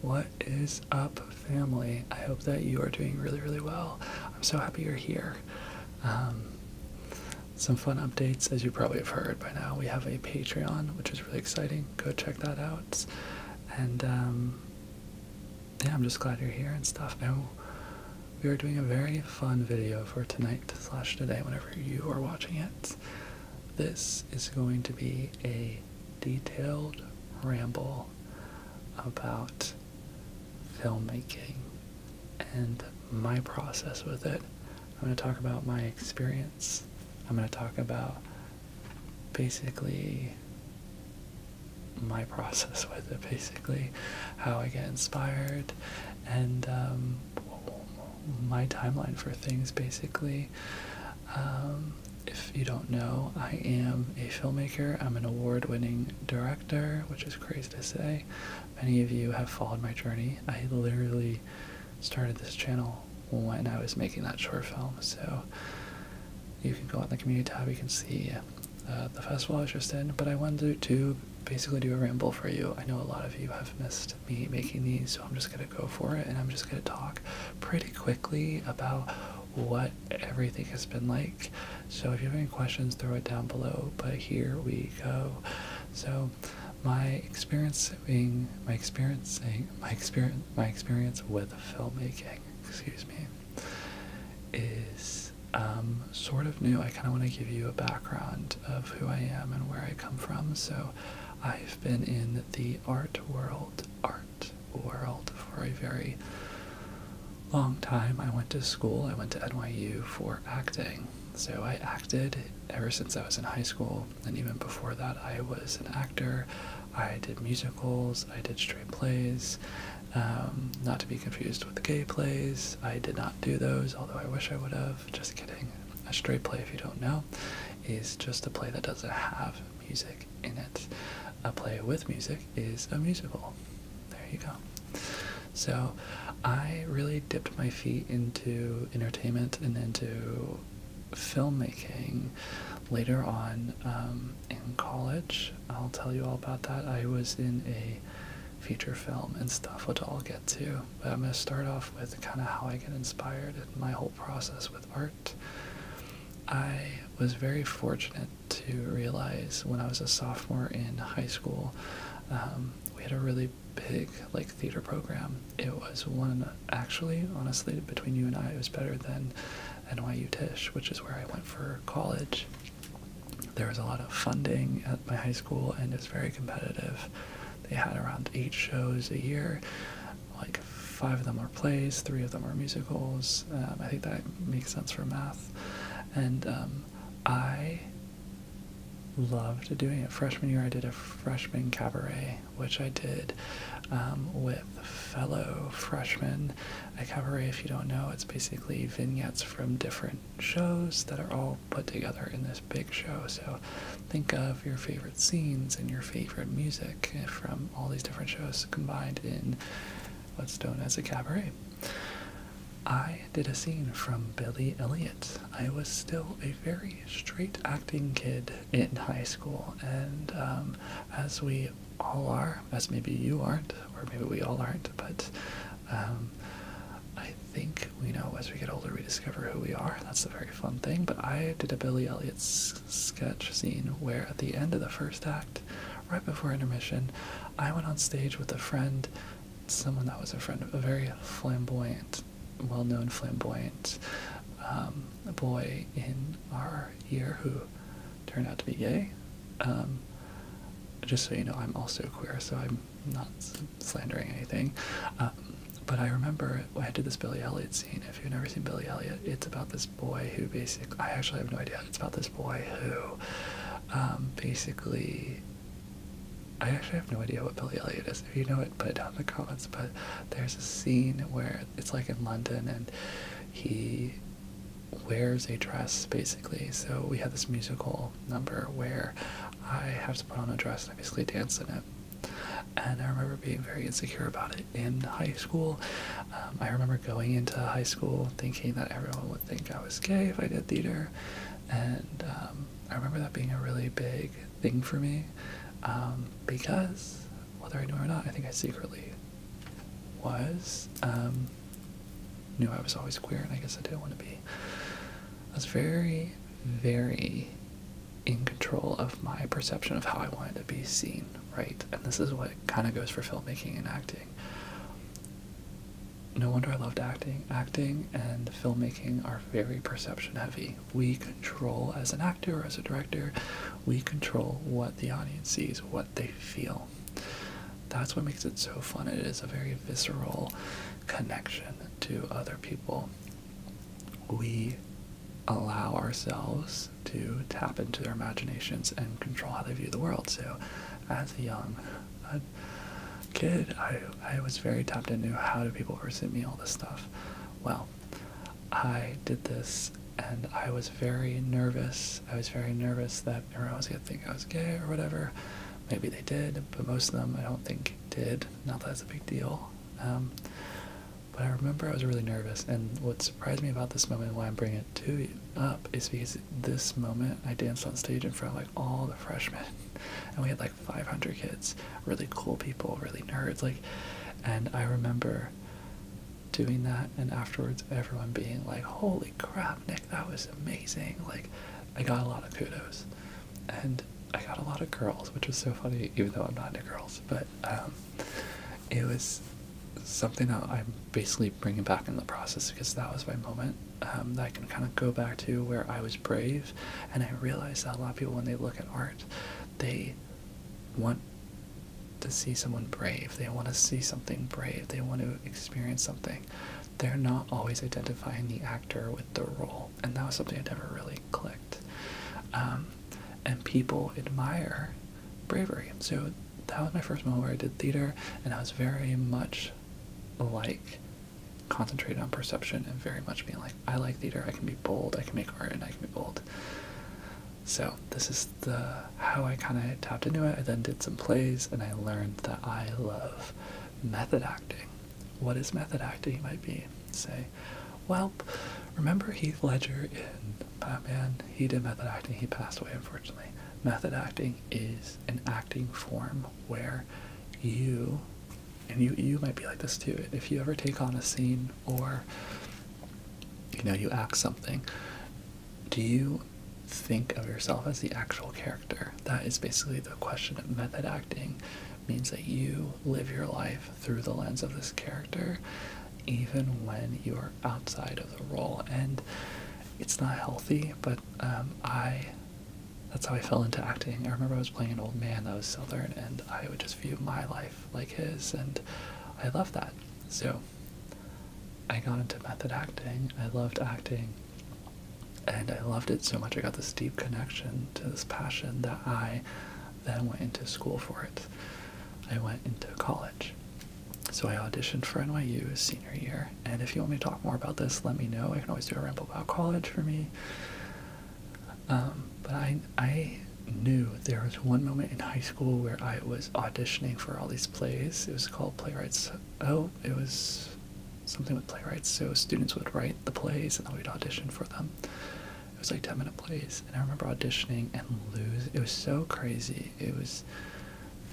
What is up, family? I hope that you are doing really, really well. I'm so happy you're here. Um, some fun updates, as you probably have heard by now. We have a Patreon, which is really exciting. Go check that out. And um, yeah, I'm just glad you're here and stuff. And we are doing a very fun video for tonight slash today, whenever you are watching it this. is going to be a detailed ramble about filmmaking and my process with it. I'm going to talk about my experience. I'm going to talk about basically my process with it, basically how I get inspired and um, my timeline for things, basically. Um, if you don't know, I am a filmmaker. I'm an award winning director, which is crazy to say. Many of you have followed my journey. I literally started this channel when I was making that short film, so you can go on the community tab, you can see uh, the festival I was just in. But I wanted to basically do a ramble for you. I know a lot of you have missed me making these, so I'm just gonna go for it and I'm just gonna talk pretty quickly about what everything has been like. So if you have any questions, throw it down below. But here we go. So my experiencing, my experiencing, my experience, my experience with filmmaking, excuse me, is um, sort of new. I kind of want to give you a background of who I am and where I come from. So I have been in the art world, art world for a very long time. I went to school, I went to NYU for acting. So I acted ever since I was in high school, and even before that, I was an actor. I did musicals, I did straight plays, um, not to be confused with gay plays. I did not do those, although I wish I would have just kidding. A straight play, if you don't know, is just a play that doesn't have music in it. A play with music is a musical. There you go. So I really dipped my feet into entertainment and into filmmaking later on um, in college. I'll tell you all about that. I was in a feature film and stuff, which I'll get to. But I'm going to start off with kind of how I get inspired and my whole process with art. I was very fortunate to realize when I was a sophomore in high school, um, we had a really big like theater program. It was one actually, honestly, between you and I, it was better than NYU Tisch, which is where I went for college. There was a lot of funding at my high school, and it's very competitive. They had around eight shows a year. Like five of them are plays, three of them are musicals. Um, I think that makes sense for math. And um, I loved doing it. Freshman year, I did a freshman cabaret, which I did um, with fellow freshmen. A cabaret, if you don't know, it's basically vignettes from different shows that are all put together in this big show. So think of your favorite scenes and your favorite music from all these different shows combined in what's known as a cabaret. I did a scene from Billy Elliot. I was still a very straight acting kid in high school, and um, as we all are, as maybe you aren't, or maybe we all aren't, but um, I think we know as we get older we discover who we are. That's the very fun thing, but I did a Billy Elliot sketch scene where at the end of the first act, right before intermission, I went on stage with a friend, someone that was a friend, of a very flamboyant, well-known flamboyant um, boy in our year who turned out to be gay. Um, just so you know, I'm also queer, so I'm not slandering anything. Um, but I remember never went to this Billy Elliot scene. If you've never seen Billy Elliot, it's about this boy who basically, I actually have no idea, it's about this boy who um, basically, I actually have no idea what Billy Elliot is. If you know it, put it down in the comments. But there's a scene where it's like in London and he wears a dress basically. So we have this musical number where I have to put on a dress and I basically dance in it. And I remember being very insecure about it in high school. Um, I remember going into high school thinking that everyone would think I was gay if I did theater. And um, I remember that being a really big thing for me um, because, whether I knew it or not, I think I secretly was. knew I was always queer and I guess I didn't want to be. I was very, very in control of my perception of how I wanted to be seen, right? And this is what kind of goes for filmmaking and acting. No wonder I loved acting. Acting and filmmaking are very perception heavy. We control, as an actor or as a director, we control what the audience sees, what they feel. That's what makes it so fun. It is a very visceral connection to other people we allow ourselves to tap into their imaginations and control how they view the world. So, as a young uh, kid, I, I was very tapped into how do people perceive me, all this stuff. Well, I did this and I was very nervous. I was very nervous that everyone was going to think I was gay or whatever. Maybe they did, but most of them I don't think did. Not that it's a big deal. Um, but I remember I was really nervous, and what surprised me about this moment and why I'm bringing it to you up is because this moment I danced on stage in front of like all the freshmen, and we had like 500 kids, really cool people, really nerds, like, and I remember doing that, and afterwards everyone being like, "Holy crap, Nick, that was amazing!" Like, I got a lot of kudos and I got a lot of girls, which was so funny, even though I'm not into girls. But um, it was something that I'm basically bringing back in the process because that was my moment um, that I can kind of go back to where I was brave, and I realized that a lot of people, when they look at art, they want to see someone brave. They want to see something brave. They want to experience something. They're not always identifying the actor with the role and that was something I never really clicked. Um, and people admire bravery, so that was my first moment where I did theater, and I was very much like concentrated on perception and very much being like, I like theater, I can be bold, I can make art, and I can be bold. So this is the how I kind of tapped into it. I then did some plays, and I learned that I love method acting. What is method acting? You might be say, Well, remember Heath Ledger in Batman? He did method acting. He passed away, unfortunately. Method acting is an acting form where you, and you, you might be like this too. If you ever take on a scene or you know you act something, do you think of yourself as the actual character? That is basically the question. Method acting means that you live your life through the lens of this character, even when you are outside of the role. And it's not healthy, but um, I. That's how I fell into acting. I remember I was playing an old man that was Southern, and I would just view my life like his, and I loved that. So I got into method acting. I loved acting and I loved it so much. I got this deep connection to this passion that I then went into school for it. I went into college. So I auditioned for NYU senior year. And if you want me to talk more about this, let me know. I can always do a ramble about college for me. Um, but I, I knew there was one moment in high school where I was auditioning for all these plays. It was called Playwrights. Oh, it was something with playwrights. So students would write the plays and then we'd audition for them. It was like 10 minute plays. And I remember auditioning and lose. It was so crazy. It was,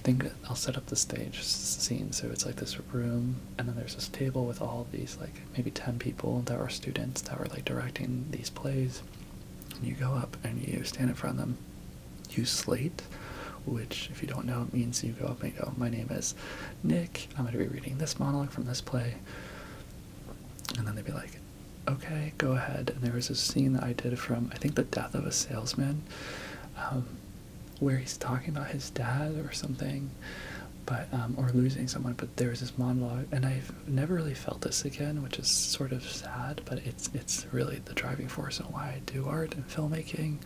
I think I'll set up the stage scene. So it's like this room and then there's this table with all these like maybe 10 people that were students that were like directing these plays. And you go up and you stand in front of them. You slate, which if you don't know, it means you go up and go, my name is Nick, I'm going to be reading this monologue from this play. And then they'd be like, okay, go ahead. And there was a scene that I did from, I think, The Death of a Salesman, um, where he's talking about his dad or something, but um, or losing someone. But there was this monologue, and I've never really felt this again, which is sort of sad, but it's, it's really the driving force on why I do art and filmmaking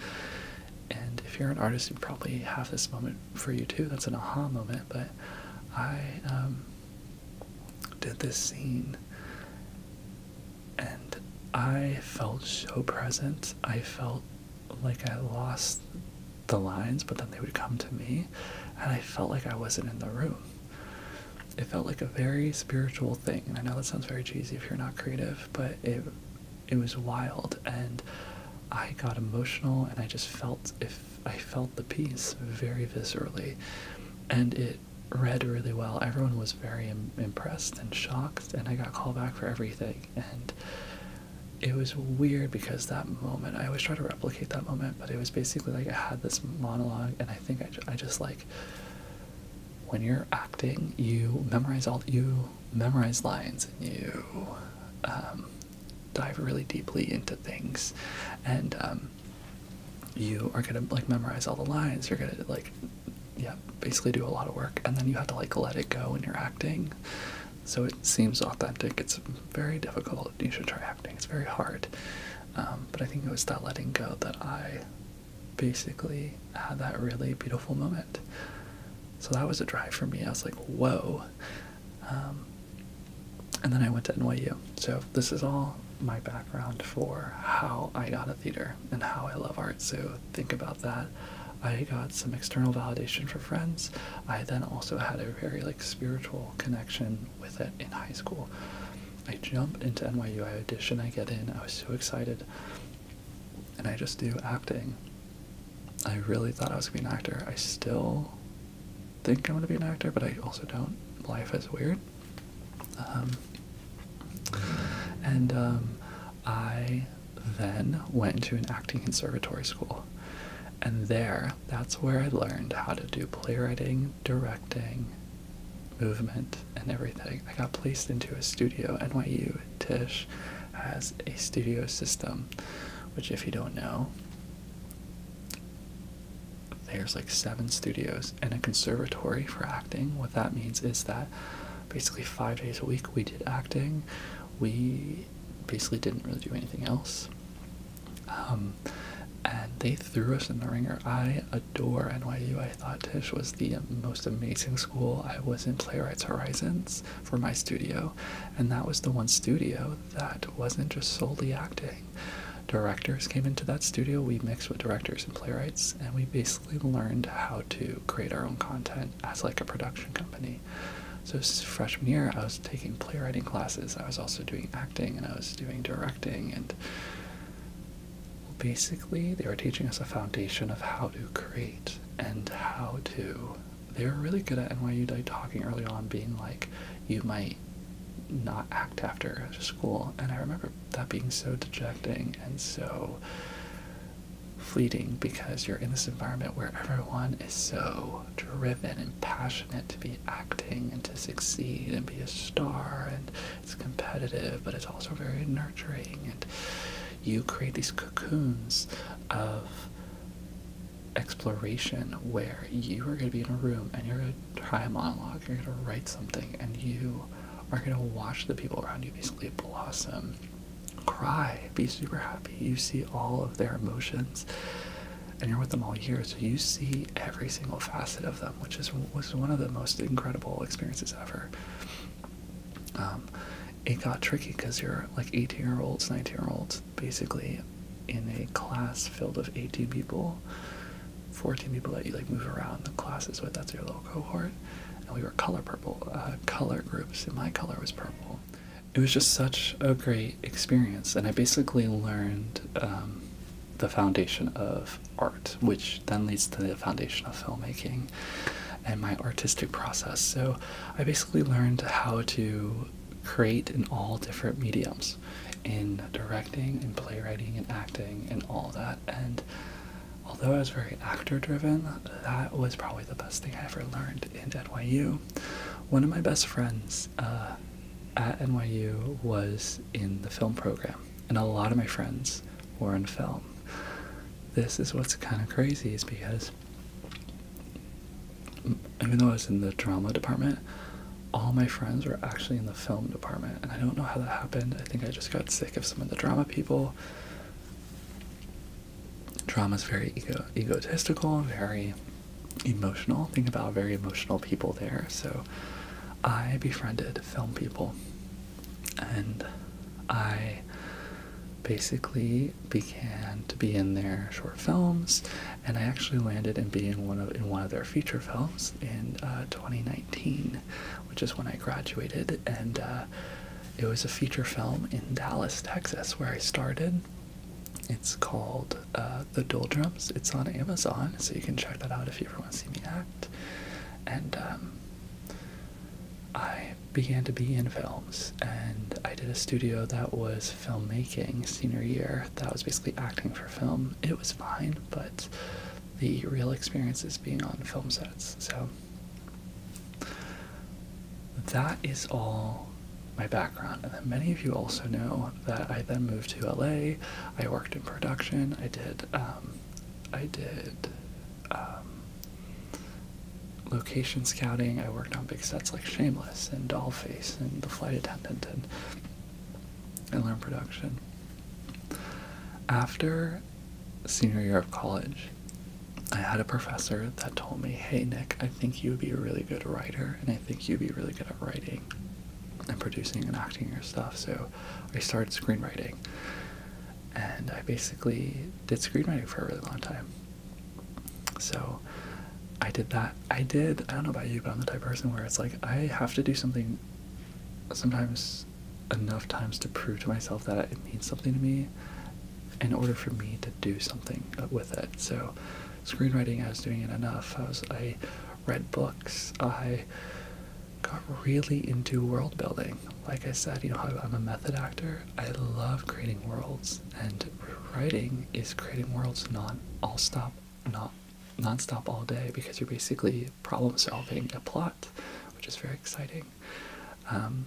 and if you're an artist, you probably have this moment for you too. That's an aha moment. But I um, did this scene and I felt so present. I felt like I lost the lines, but then they would come to me, and I felt like I wasn't in the room. It felt like a very spiritual thing. And I know that sounds very cheesy if you're not creative, but it it was wild and I got emotional and I just felt if I felt the piece very viscerally and it read really well. Everyone was very impressed and shocked and I got called back for everything and it was weird because that moment I always try to replicate that moment but it was basically like I had this monologue and I think I, I just like when you're acting you memorize all you memorize lines and you um, dive really deeply into things, and um, you are gonna like memorize all the lines. You're gonna like, yeah, basically do a lot of work, and then you have to like let it go when you're acting. So it seems authentic. It's very difficult. You should try acting. It's very hard. Um, but I think it was that letting go that I basically had that really beautiful moment. So that was a drive for me. I was like, whoa, um, and then I went to NYU. So this is all my background for how I got a theater and how I love art. So think about that. I got some external validation for friends. I then also had a very like spiritual connection with it in high school. I jumped into NYU, I auditioned, I get in, I was so excited. And I just do acting I really thought I was gonna be an actor. I still think I'm gonna be an actor, but I also don't. Life is weird. Um, and um, I then went to an acting conservatory school, and there, that's where I learned how to do playwriting, directing, movement, and everything. I got placed into a studio, NYU Tisch, has a studio system, which, if you don't know, there's like seven studios and a conservatory for acting. What that means is that basically five days a week we did acting. We basically didn't really do anything else. Um, and they threw us in the ringer. I adore NYU. I thought Tish was the most amazing school. I was in Playwrights Horizons for my studio, and that was the one studio that wasn't just solely acting. Directors came into that studio, we mixed with directors and playwrights, and we basically learned how to create our own content as like a production company. So freshman year, I was taking playwriting classes. I was also doing acting, and I was doing directing, and basically they were teaching us a foundation of how to create and how to they were really good at NYU like, talking early on, being like, you might not act after school. And I remember that being so dejecting and so fleeting because you're in this environment where everyone is so driven and passionate to be acting and to succeed and be a star and it's competitive but it's also very nurturing and you create these cocoons of exploration where you are going to be in a room and you're going to try a monologue, you're going to write something, and you are going to watch the people around you basically blossom, cry, be super happy. You see all of their emotions, and you're with them all year, so you see every single facet of them, which is was one of the most incredible experiences ever. Um, it got tricky because you're like 18 year olds, 19 year olds, basically in a class filled of 18 people, 14 people that you like move around the classes with. That's your little cohort. And we were color purple, uh, color groups, and my color was purple. It was just such a great experience, and I basically learned um, the foundation of art, which then leads to the foundation of filmmaking and my artistic process. So I basically learned how to create in all different mediums in directing and playwriting and acting and all that and although I was very actor driven that was probably the best thing I ever learned in NYU one of my best friends uh, at NYU was in the film program and a lot of my friends were in film this is what's kind of crazy is because even though I was in the drama department, all my friends were actually in the film department, and I don't know how that happened. I think I just got sick of some of the drama people. Drama is very ego egotistical, very emotional. Think about very emotional people there. So I befriended film people, and I basically began to be in their short films, and I actually landed in being one of in one of their feature films in uh, 2019, which is when I graduated, and uh, it was a feature film in Dallas, Texas, where I started. It's called uh, The Doldrums. It's on Amazon, so you can check that out if you ever want to see me act. And um, I began to be in films, and I did a studio that was filmmaking senior year. That was basically acting for film. It was fine, but the real experience is being on film sets. So that is all my background. And then many of you also know that I then moved to LA. I worked in production. I did. Um, I did um, location scouting. I worked on big sets like Shameless and Dollface and The Flight Attendant and, I learned production. After senior year of college, I had a professor that told me, hey, Nick, I think you would be a really good writer, and I think you'd be really good at writing and producing and acting and stuff. So I started screenwriting, and I basically did screenwriting for a really long time. So I did that. I did, I don't know about you, but I'm the type of person where it's like I have to do something sometimes enough times to prove to myself that it means something to me in order for me to do something with it. So screenwriting, I was doing it enough. I was, I read books. I got really into world building like I said, you know, I'm a method actor. I love creating worlds, and writing is creating worlds not all stop, not non-stop all day because you're basically problem solving a plot, which is very exciting. Um,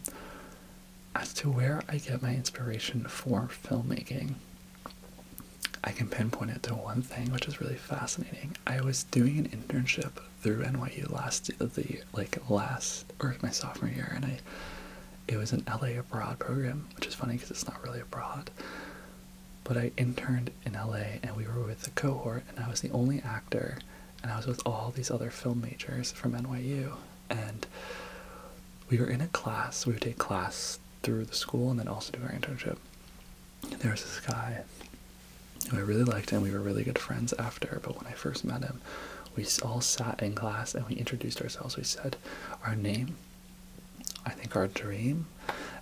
as to where I get my inspiration for filmmaking, I can pinpoint it to one thing, which is really fascinating. I was doing an internship through NYU last the like last or my sophomore year, and I it was an LA abroad program, which is funny because it's not really abroad. But I interned in LA, and we were with a cohort, and I was the only actor, and I was with all these other film majors from NYU, and we were in a class. We would take class through the school, and then also do our internship. And there was this guy who I really liked, him. we were really good friends after. But when I first met him, we all sat in class and we introduced ourselves. We said our name, I think our dream,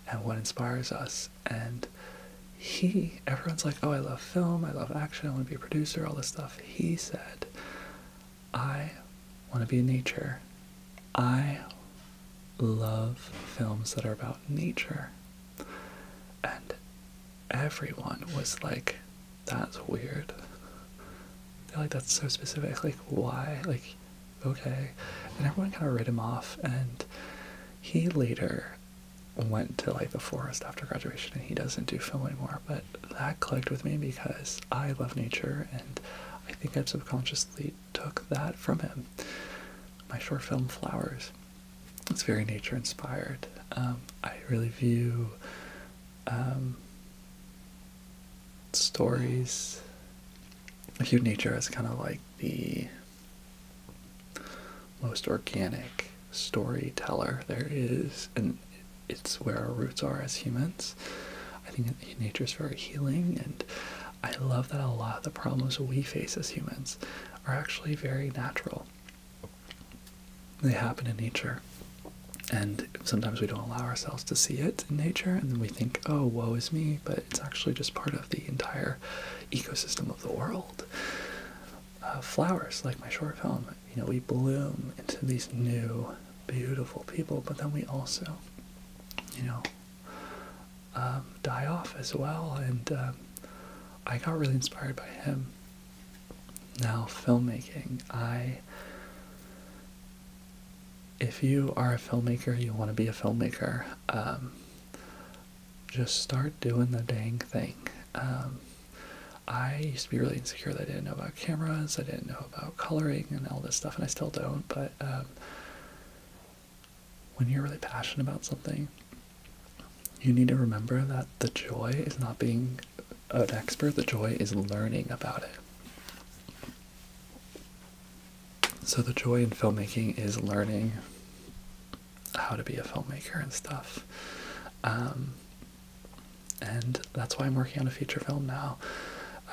and what inspires us. And he, everyone's like, oh, I love film, I love action, I want to be a producer, all this stuff. He said, I want to be in nature. I love films that are about nature. And everyone was like, that's weird. They're like, that's so specific. Like, why? Like, okay. And everyone kind of wrote him off, and he later went to like the forest after graduation and he doesn't do film anymore but that clicked with me because i love nature and i think i subconsciously took that from him my short film flowers it's very nature inspired. Um, I really view um, stories. I view nature as kind of like the most organic storyteller there is, and it's where our roots are as humans. I think nature is very healing, and I love that a lot of the problems we face as humans are actually very natural they happen in nature. And sometimes we don't allow ourselves to see it in nature, and then we think, oh, woe is me, but it's actually just part of the entire ecosystem of the world. Uh, flowers, like my short film, you know, we bloom into these new, beautiful people, but then we also, you know, um, die off as well, and um, I got really inspired by him. Now, filmmaking. I. If you are a filmmaker, you want to be a filmmaker, um, just start doing the dang thing. Um, I used to be really insecure that I didn't know about cameras, I didn't know about coloring and all this stuff, and I still don't, but um, when you're really passionate about something, you need to remember that the joy is not being an expert, the joy is learning about it. So, the joy in filmmaking is learning how to be a filmmaker and stuff. Um, and that's why I'm working on a feature film now,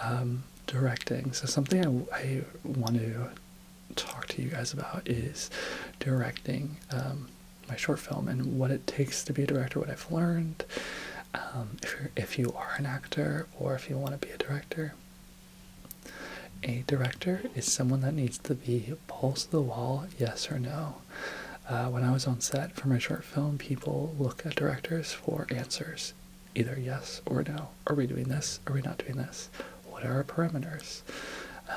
um, directing. So, something I, want to talk to you guys about is directing. Um, my short film and what it takes to be a director, what I've learned. Um, if you're, if you are an actor or if you want to be a director, a director is someone that needs to be balls to the wall, yes or no. Uh, when I was on set for my short film, people look at directors for answers, either yes or no. Are we doing this? Are we not doing this? What are our parameters?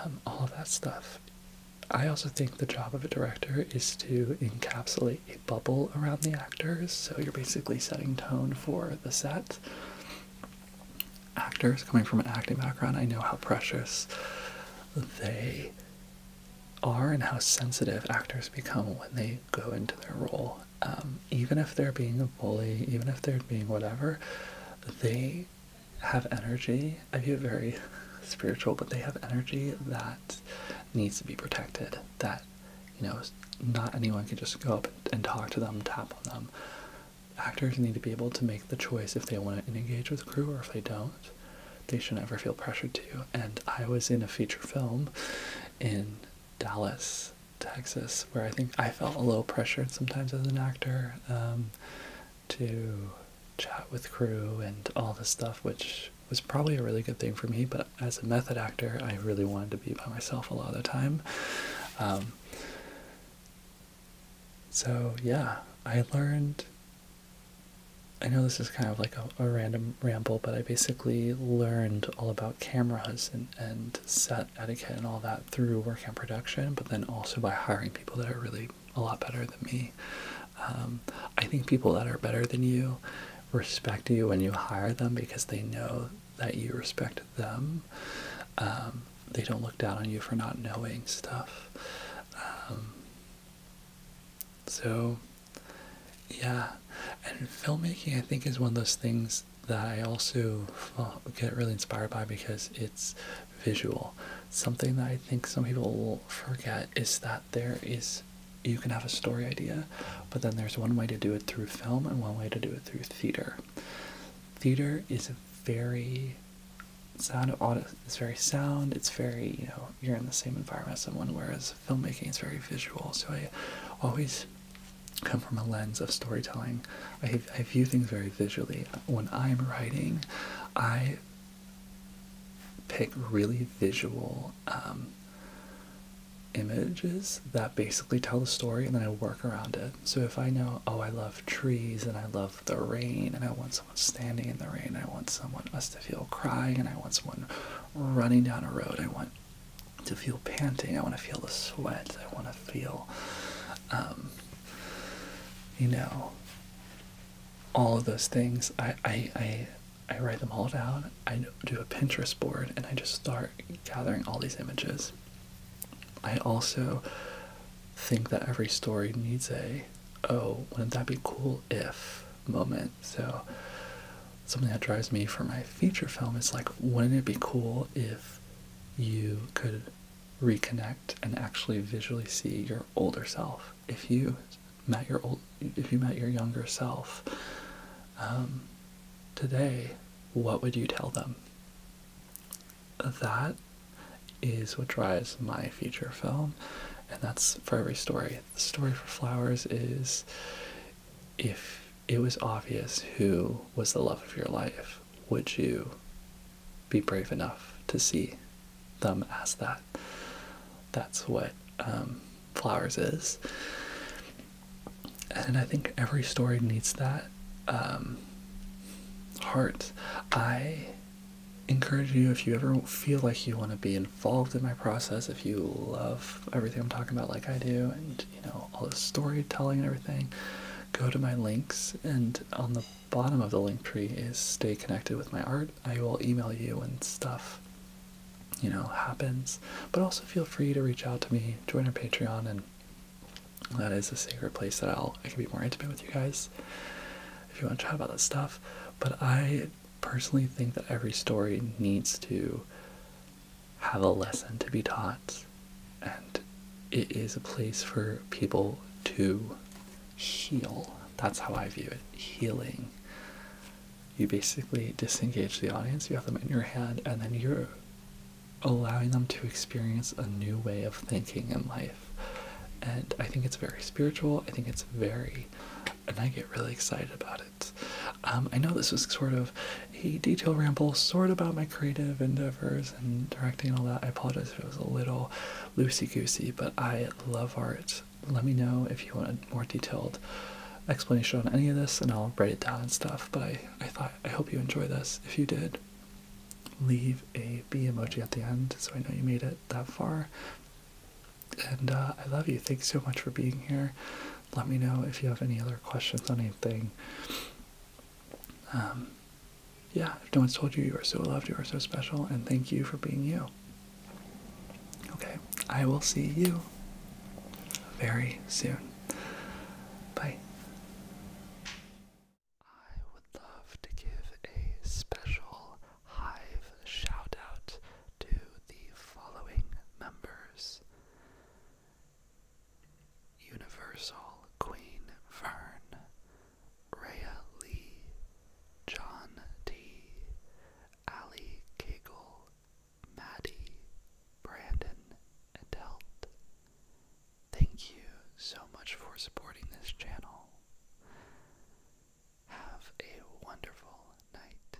Um, all that stuff I also think the job of a director is to encapsulate a bubble around the actors, so you're basically setting tone for the set. Actors coming from an acting background, I know how precious they are and how sensitive actors become when they go into their role. Um, even if they're being a bully, even if they're being whatever, they have energy. I view it very spiritual, but they have energy that needs to be protected. That you know, not anyone can just go up and talk to them, tap on them. Actors need to be able to make the choice if they want to engage with the crew or if they don't. They should never feel pressured to. And I was in a feature film in Dallas, Texas, where I think I felt a little pressured sometimes as an actor. Um, to chat with crew and all this stuff, which was probably a really good thing for me. But as a method actor, I really wanted to be by myself a lot of the time. Um, so, yeah, I learned. I know this is kind of like a, random ramble, but I basically learned all about cameras and, and set etiquette and all that through work and production, but then also by hiring people that are really a lot better than me. Um, I think people that are better than you respect you when you hire them because they know that you respect them. Um, they don't look down on you for not knowing stuff. Um, so, yeah. And filmmaking, I think, is one of those things that I also get really inspired by because it's visual something that I think some people will forget is that there is you can have a story idea, but then there's one way to do it through film and one way to do it through theater. Theater is very sound of it's very sound, it's very, you know, you're in the same environment as someone, whereas filmmaking is very visual. So I always come from a lens of storytelling. I, I view things very visually. When I'm writing, I pick really visual um, images that basically tell the story and then I work around it. So if I know, oh, I love trees and I love the rain and I want someone standing in the rain, I want someone us to feel crying and I want someone running down a road, I want to feel panting, I want to feel the sweat, I want to feel, um, you know, all of those things. I, I, I, write them all down. I do a Pinterest board and I just start gathering all these images. I also think that every story needs a, oh, wouldn't that be cool if moment. So something that drives me for my feature film is like, wouldn't it be cool if you could reconnect and actually visually see your older self. If you met your old, if you met your younger self um, today, what would you tell them? That is what drives my future film, and that's for every story. The story for Flowers is if it was obvious who was the love of your life, would you be brave enough to see them as that? That's what um, Flowers is. And I think every story needs that um, heart. I encourage you if you ever feel like you want to be involved in my process, if you love everything I'm talking about, like I do, and you know, all the storytelling and everything, go to my links and on the bottom of the link tree is stay connected with my art. I will email you when stuff, you know, happens. But also feel free to reach out to me, join our Patreon, and that is a sacred place that I'll I can be more intimate with you guys if you want to chat about this stuff. But I personally think that every story needs to have a lesson to be taught and it is a place for people to heal. That's how I view it healing. You basically disengage the audience, you have them in your hand, and then you're allowing them to experience a new way of thinking in life. And I think it's very spiritual. I think it's very, and I get really excited about it. Um, I know this was sort of a detailed ramble, sort about my creative endeavors and directing all that. I apologize if it was a little loosey goosey, but I love art. Let me know if you want a more detailed explanation on any of this, and I'll write it down and stuff. But I, I thought I hope you enjoy this. If you did, leave a B emoji at the end so I know you made it that far. And uh, I love you. Thanks so much for being here. Let me know if you have any other questions on anything. Um, yeah, if no one's told you, you are so loved, you are so special, and thank you for being you. Okay, I will see you very soon. Bye. I would love to give a special Hive shout out to the following members Universal Queen Fern, Rhea Lee, John T, Ali Cagle, Maddie, Brandon, Adelt. Thank you so much for supporting this channel. Have a wonderful night.